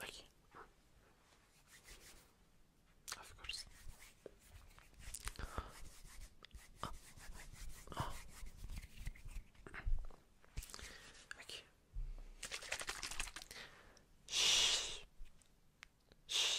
Like, of course. Okay. Shh. Shh.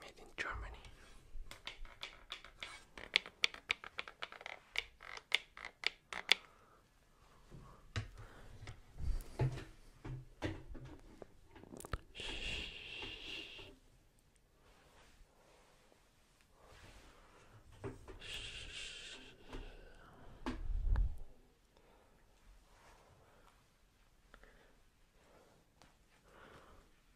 made in Germany.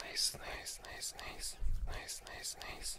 Nice, nice, nice, nice, nice, nice, nice, nice.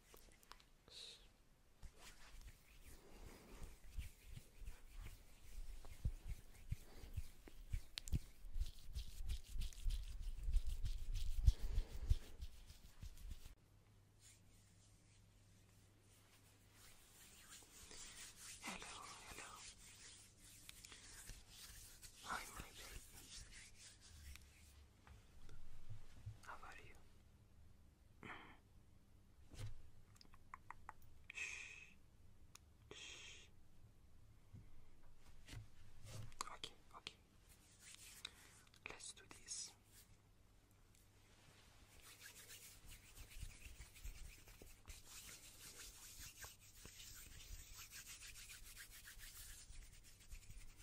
Hello, hello. Hi, my how about you? Shh. Shh. Okay, okay. Let's do this.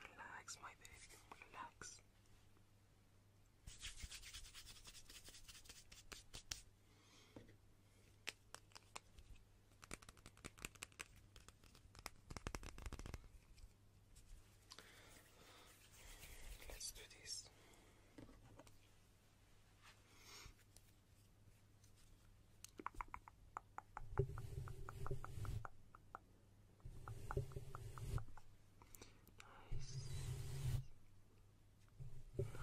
Relax, my baby, relax. Let's do this. Nice. Nice. Beautiful.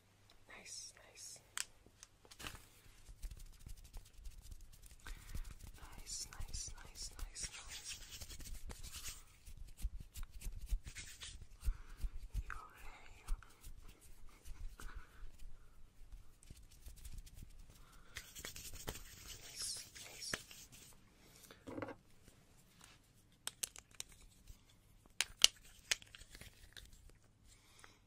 Nice, nice. Nice, nice, nice, nice, nice. Your hair. Nice, nice.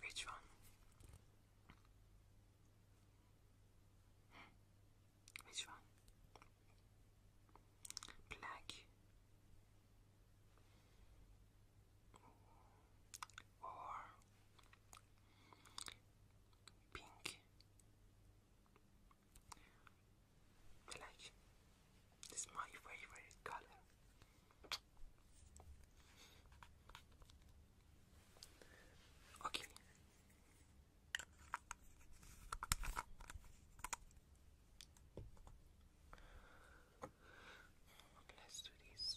Which one? Which one? Black or pink like, it's my favorite color. Okay. Let's do this.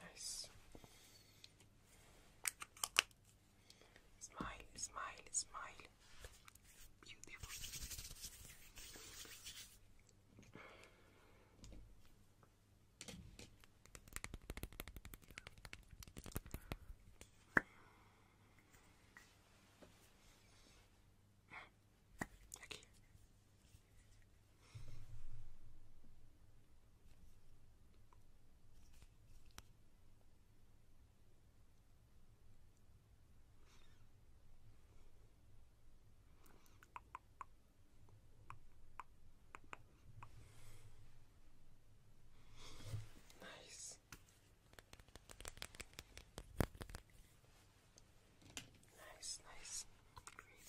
Nice. Smile, smile, smile. Beautiful. Aquí. Nice. Nice, nice. Great.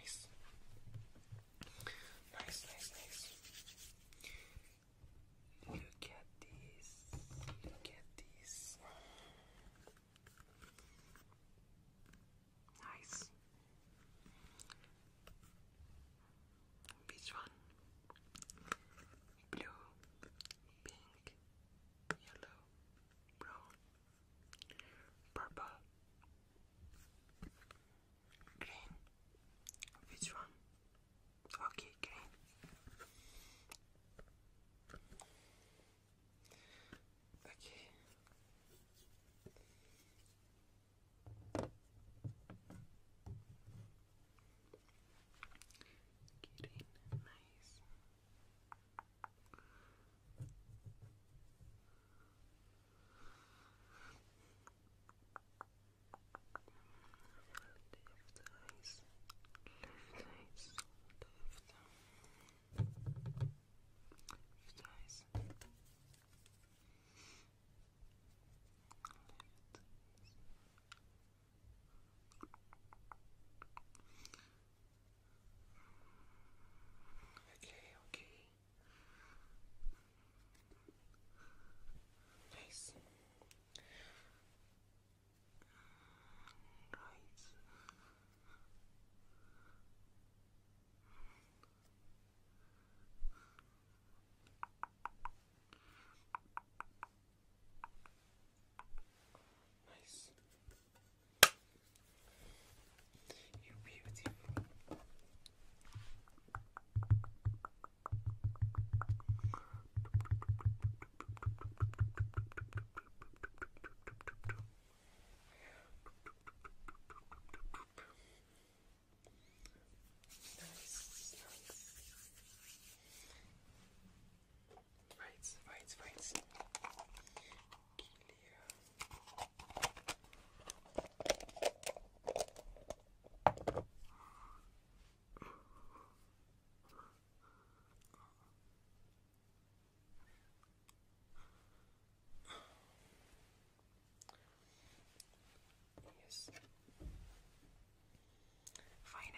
Nice. Nice, nice, nice. Look at this. Look at this. Nice. Which one? Blue, pink, yellow, brown, purple, green. Which one? Okay, green. Okay. Getting nice. Left eyes, left Nice. Okay, okay. Nice. Right. Nice. You beautiful. Nice, nice. Right, right, right. Clear. Yes. Finally.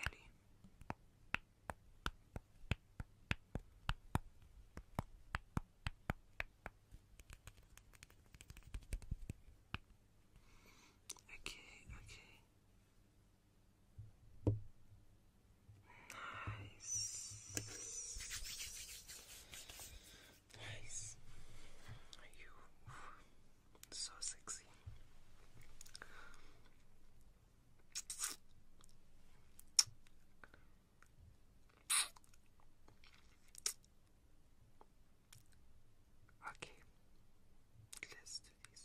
Okay, okay. Nice. Nice. You so sexy. Okay, let's do this.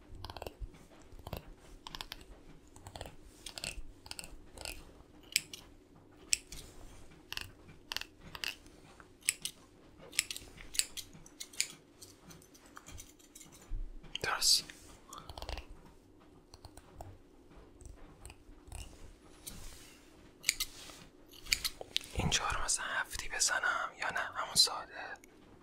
درست اینجا رو مثلا هفتی بزنم یا نه همون ساده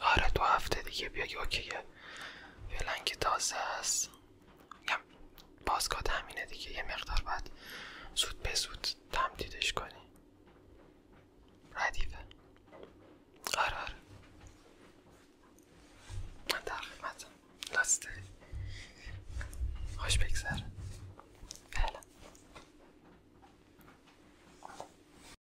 آره دو هفته دیگه بیا اوکیه فعلا که تازه است میگم بازگاه همینه دیگه یه مقدار باید زود به زود تمدیدش کنی ردیفه آره آره من در خدمتم داری خوش بگذره